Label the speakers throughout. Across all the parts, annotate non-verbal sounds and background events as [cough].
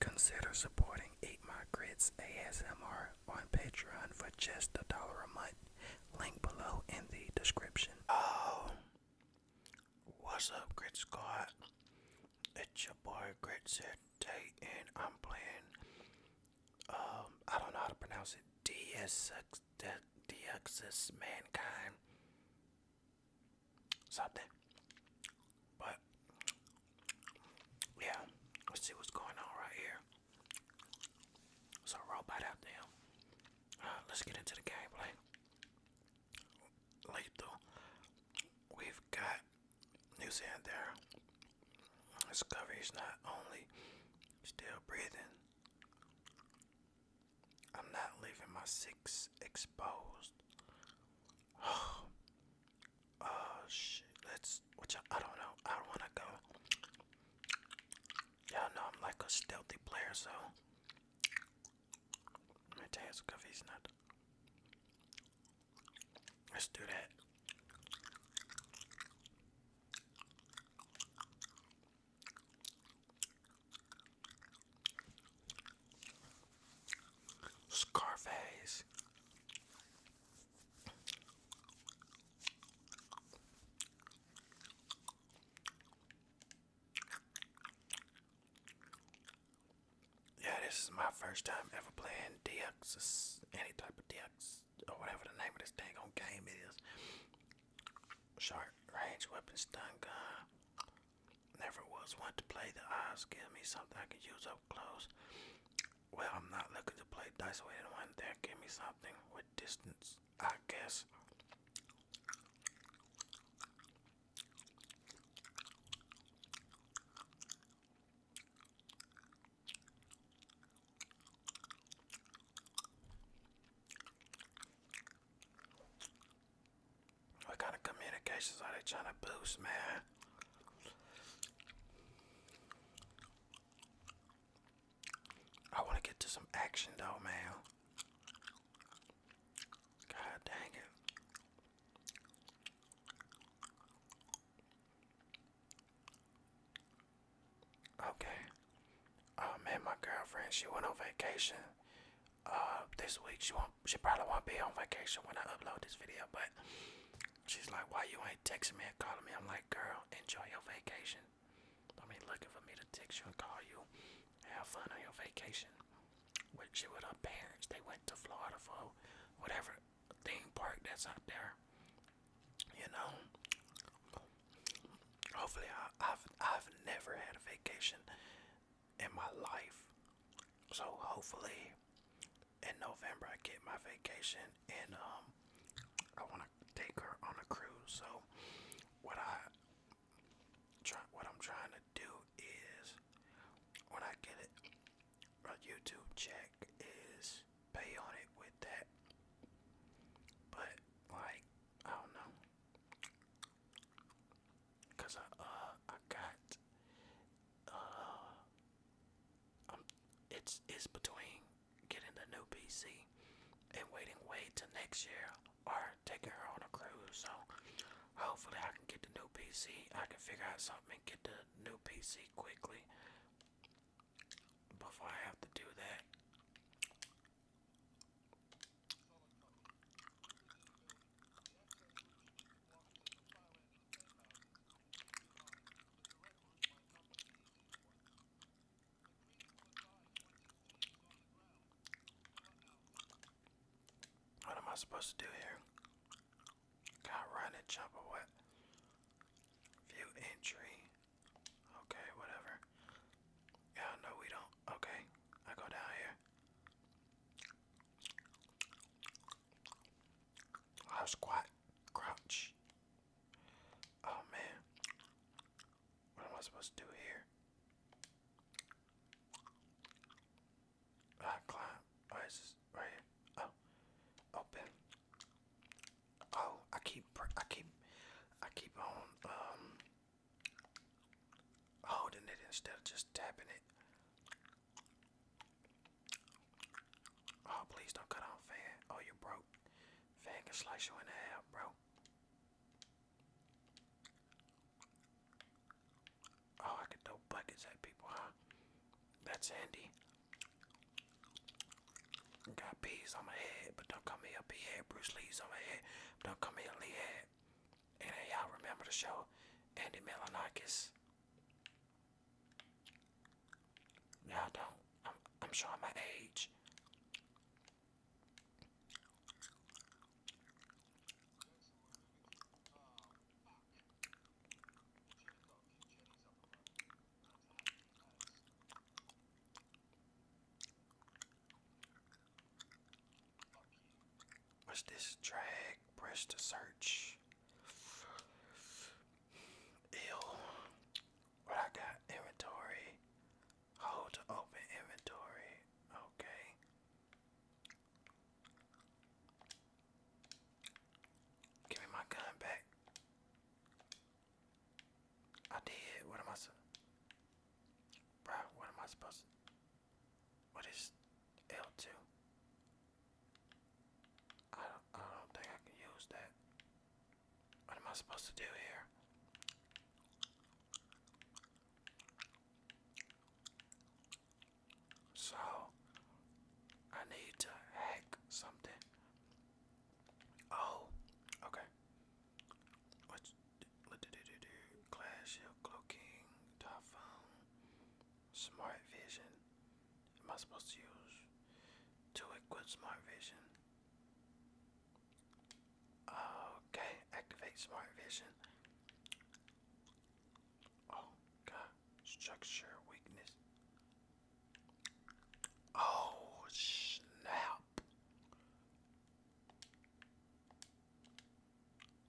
Speaker 1: Consider supporting Eat My Grits ASMR on Patreon for just a dollar a month. Link below in the description. Oh, what's up, Grit Squad? It's your boy Grit and I'm playing um, I don't know how to pronounce it. DSX, Mankind, something. But yeah, let's see what's going on right here. It's a robot out there. let's get into the gameplay. Lethal. We've got New Zealand there. Discovery is not only still breathing, I'm not leaving my six exposed. Oh, [sighs] oh shit. Let's, which I, don't know. I don't want to go. Y'all I'm like a stealthy player, so. Let me tell Discovery's not. Let's do that. Scarface. Yeah, this is my first time ever playing DX, any type of DX or whatever the name of this dang on game is. Short range weapon stun gun. Never was one to play the odds. Give me something I can use up close. Well, I'm not looking to play dice with anyone there. Give me something with distance, I guess. What kind of communications are they trying to boost, man? I want to get to some action, though, man. God dang it. Okay. Uh, man, my girlfriend, she went on vacation. Uh, this week she won't. She probably won't be on vacation when I upload this video. But she's like, "Why you ain't texting me and calling me?" I'm like, "Girl, enjoy your vacation. Don't looking for me to text you and call you. Have fun on your vacation." With she with her parents, they went to Florida for whatever theme park that's out there. You know, hopefully, I, have I've never had a vacation in my life, so hopefully, in November I get my vacation, and um, I want to take her on a cruise. So, what I try, what I'm trying to do is, when I get it, a YouTube check is pay on it with that. But like, I don't know. Cause I uh I got uh um it's it's between getting the new PC and waiting wait till next year or taking her on a cruise. So hopefully I can get the new PC. I can figure out something and get the new PC quickly before I have to do that. What am I supposed to do here? Got run jump or what? View entry. Okay, whatever. Yeah, no, we don't. Okay, I go down here. i squat, crouch. Oh man, what am I supposed to do here? I ah, climb. Right, oh, right Oh, open. Oh, I keep, I keep, I keep on um, holding it instead of just tapping it. Oh, please don't cut on fan. Oh, you broke. Fan can slice you in half, bro. Oh, I can throw buckets at people, huh? That's handy. Got peas on my head, but don't call me a Bruce Lee's on my head, don't call me a And hey, y'all remember the show, Andy Melanakis? Y'all don't. I'm showing my age. What's this? Drag, press to search. Ew. What I got? Inventory. Hold to open inventory. Okay. Give me my gun back. I did. What am I? Bro, what am I supposed to? What is L2? I don't, I don't think I can use that. What am I supposed to do here? So, I need to hack something. Oh, okay. What do do do do? Clash of cloaking, typhoon, smart vision. Am I supposed to use to equip smart vision? Okay, activate smart vision. Oh god, structure weakness. Oh snap!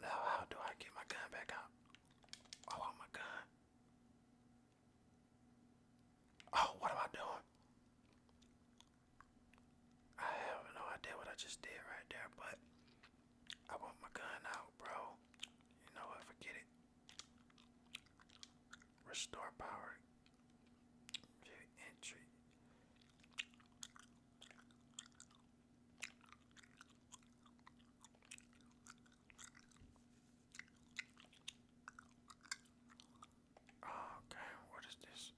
Speaker 1: Now how do I get my gun back out? Oh, I want my gun. Oh, what am I doing? I have no idea what I just did right there, but I want my gun out, bro. You know what? Forget it. Restore power. Very entry. Okay, what is this?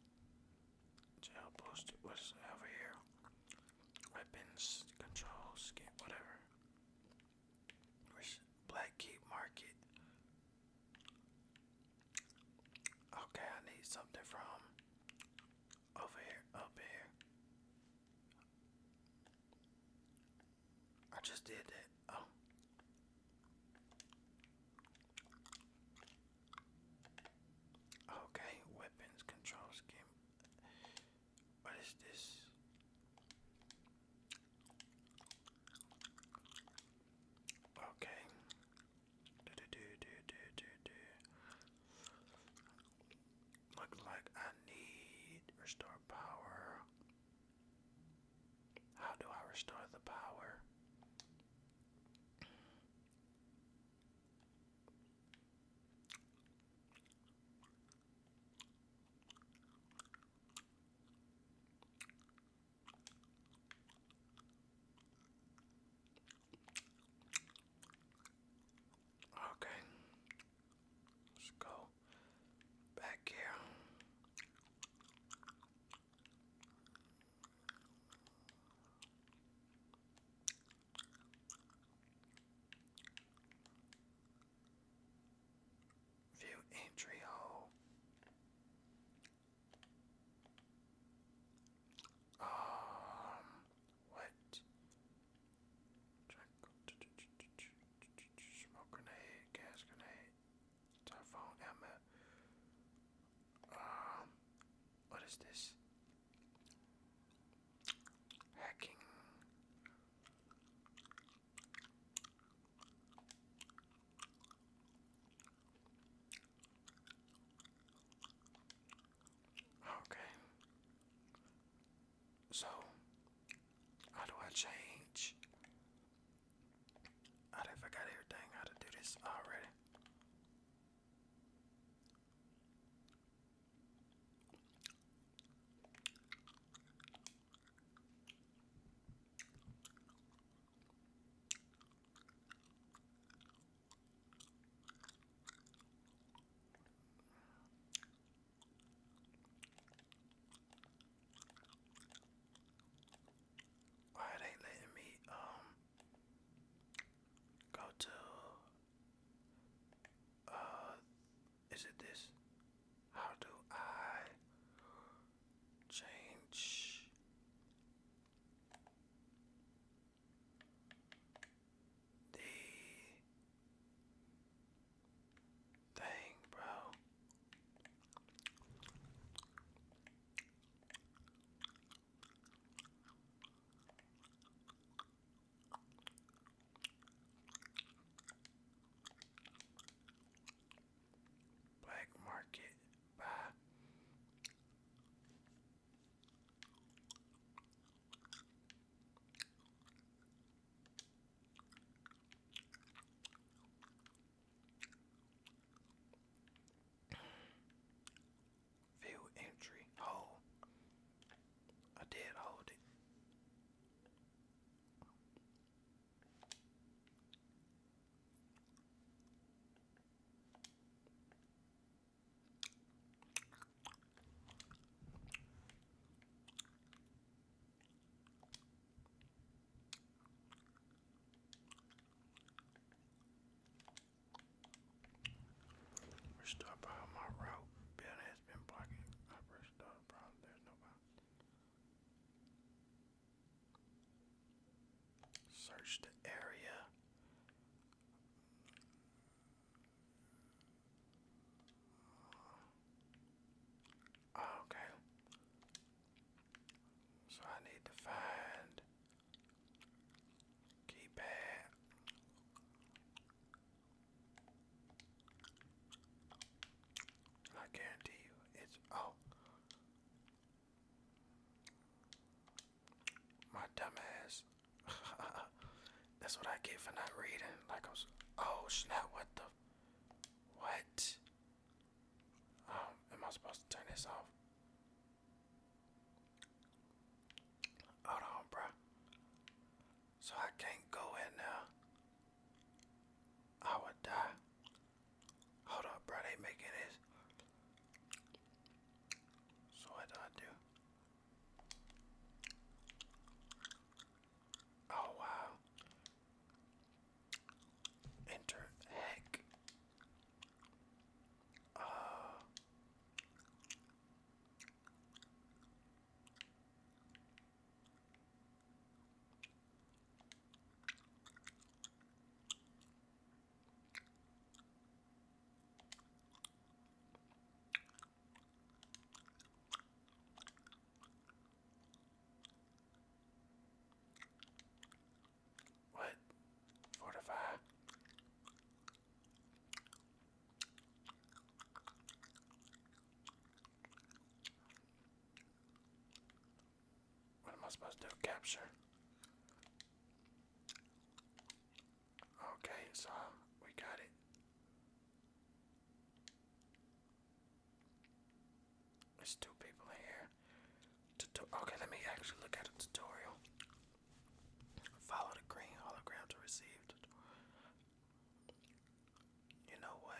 Speaker 1: Jail post. What is over here? Weapons, control, skin, whatever. Where's Black Market? Okay, I need something from over here, up here. I just did that. Oh. Okay, weapons control scheme. What is this? Okay. Do do do do do do do. Look like I need restore power. How do I restore the power? Okay. Let's go back here. View entry hole. Um, what? Smoke grenade, gas grenade, typhoon Emma. Um, what is this? Hacking. Okay. So, how do I change? I done forgot everything how to do this already. Why are they letting me um go to uh is it this? How do I change the thing, bro. Black Market by Field entry hole. I did hold it. Restore power my route. Bill has been blocking. I restore problem. There's no problem. Search the area. Oh, okay. So I need to find keypad. I guarantee you it's oh my dumbass. [laughs] That's what I get for not reading. Like I was. Oh snap! What the? What? Um, am I supposed to turn this off? Hold on, bro. So I can't go in now. I would die. Hold up, bro. They making this. So what do I do? Oh wow. Enter heck. Uh what? Fortify. What am I supposed to do? Capture. Okay, so um, we got it. There's two people here. okay, let me actually look at a tutorial. Follow the green hologram to receive. You know what?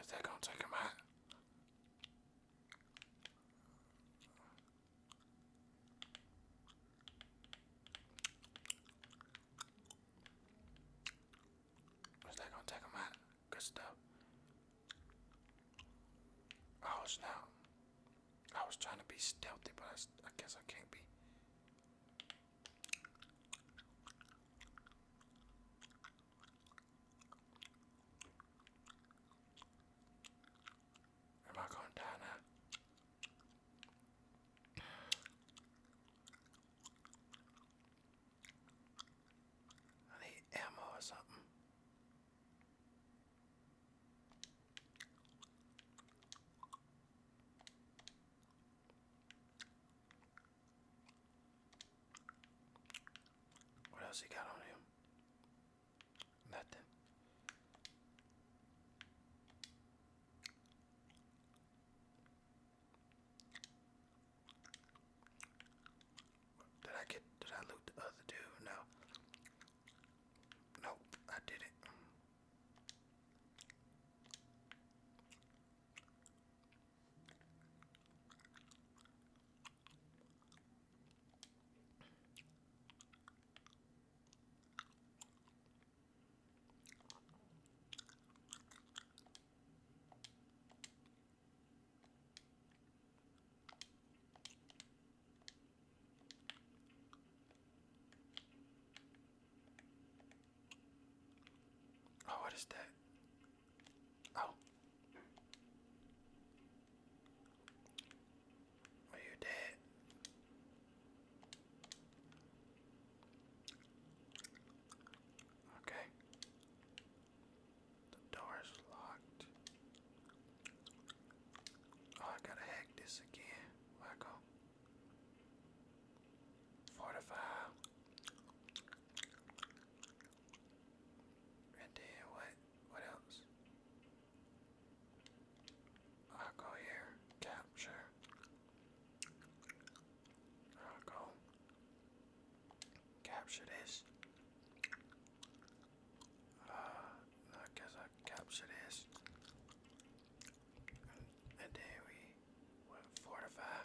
Speaker 1: Is that gonna take him out? Is that gonna take out? Good stuff. I was not. I was trying to be stealthy, but I, I guess I can't be. Am I going down now? I need ammo or something. What else he got on him? Nothing. Did I get did I loot the other dude? No. Nope, I did it. Oh, what is that? Oh. Are you dead? Okay. The door is locked. Oh, I gotta hack this again. Where I go? Fortify. And then what? What else? I'll go here. Capture. I'll go. Capture this. Uh, I guess I capture this. And, and then we will fortify.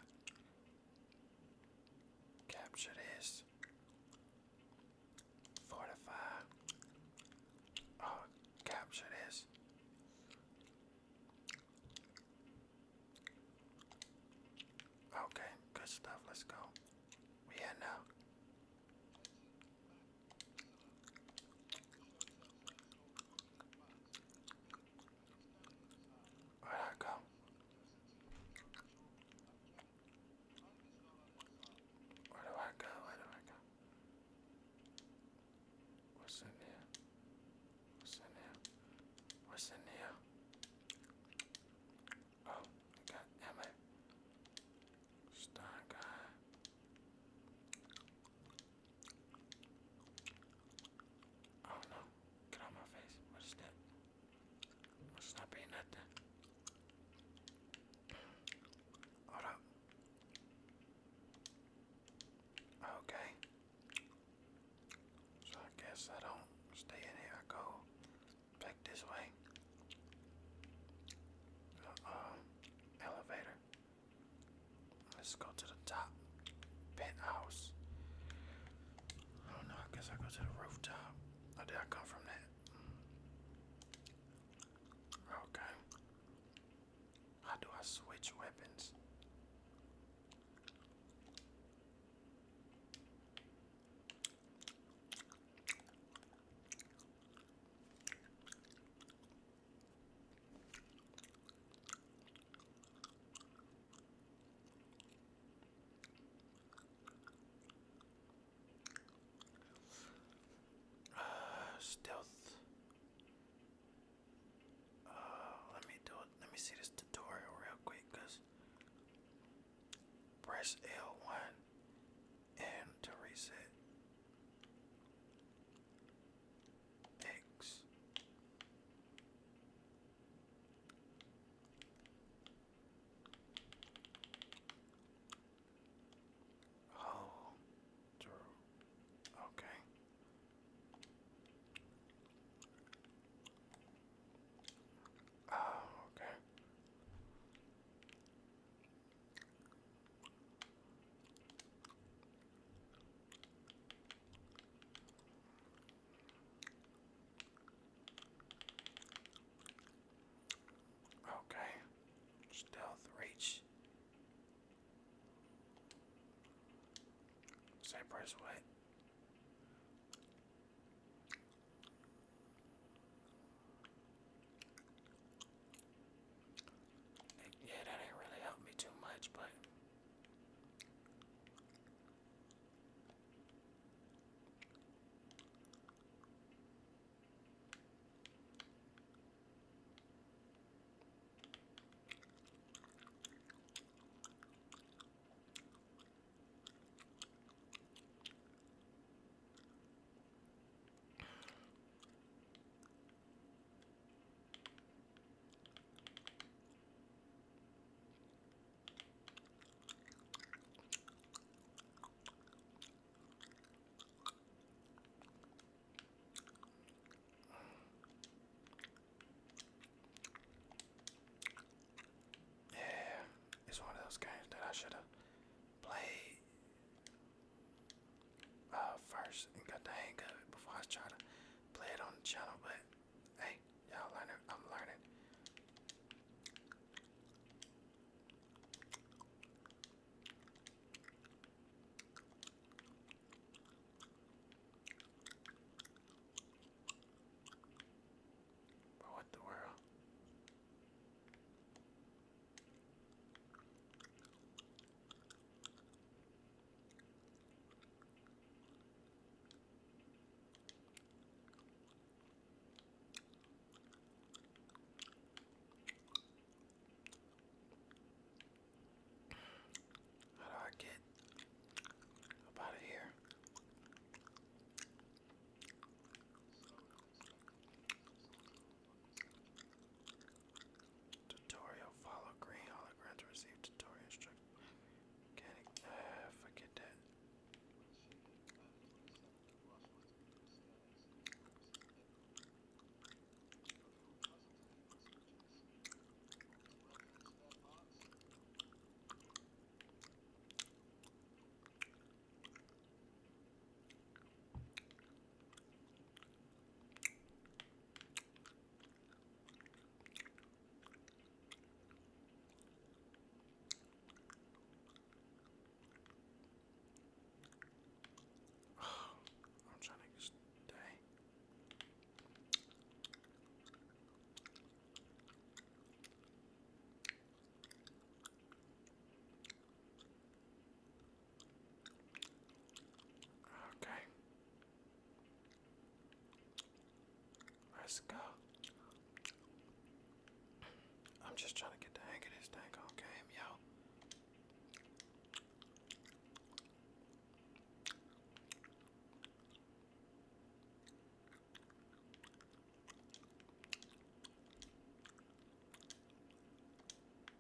Speaker 1: Capture this. Fortify. Oh, capture this. Okay, good stuff. Let's go. Yeah, no. Where'd I go? Where do I go? Where do I go? What's in here? What's in here? What's in here? Oh, damn it. Star guy. Oh no, get out my face. What is that? Must not be nothing. Hold up. Okay. So I guess I don't stay in here. I go Back this way. Uh, um, elevator. Let's go to the top. Penthouse. Oh no, I guess I go to the rooftop. Oh, did I come from that? Okay. How do I switch weapons? Uh, stealth. Uh, let me do it. Let me see this tutorial real quick, cause press L1 and to reset X. Oh, Okay. Oh, okay. Okay, stealth reach. Say press yeah, that ain't really helped me too much, but yeah, it's one of those guys that I should have play uh, first and got the hang of it before I was to play it on the channel. But hey, y'all learning, I'm learning. But what the world? How do I get out of here? Tutorial follow green hologram receive tutorial uh, forget that. Oh, I'm trying to just dang. Okay. Let's go. I'm just trying to get the hang of this dang Okay, yo.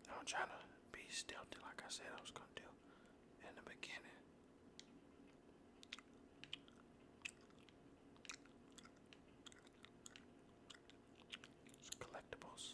Speaker 1: I'm trying to be stealthy like I said I was gonna do in the beginning. collectibles.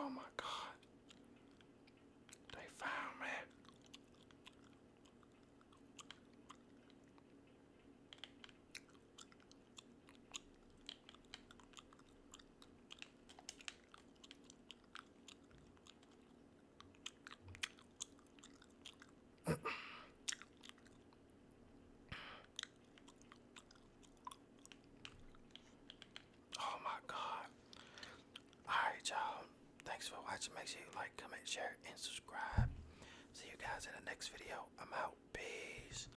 Speaker 1: Oh my God, they found me oh my god. Alright, y'all. Thanks for watching. Make sure you like, comment, share, and subscribe. See you guys in the next video. I'm out. Peace.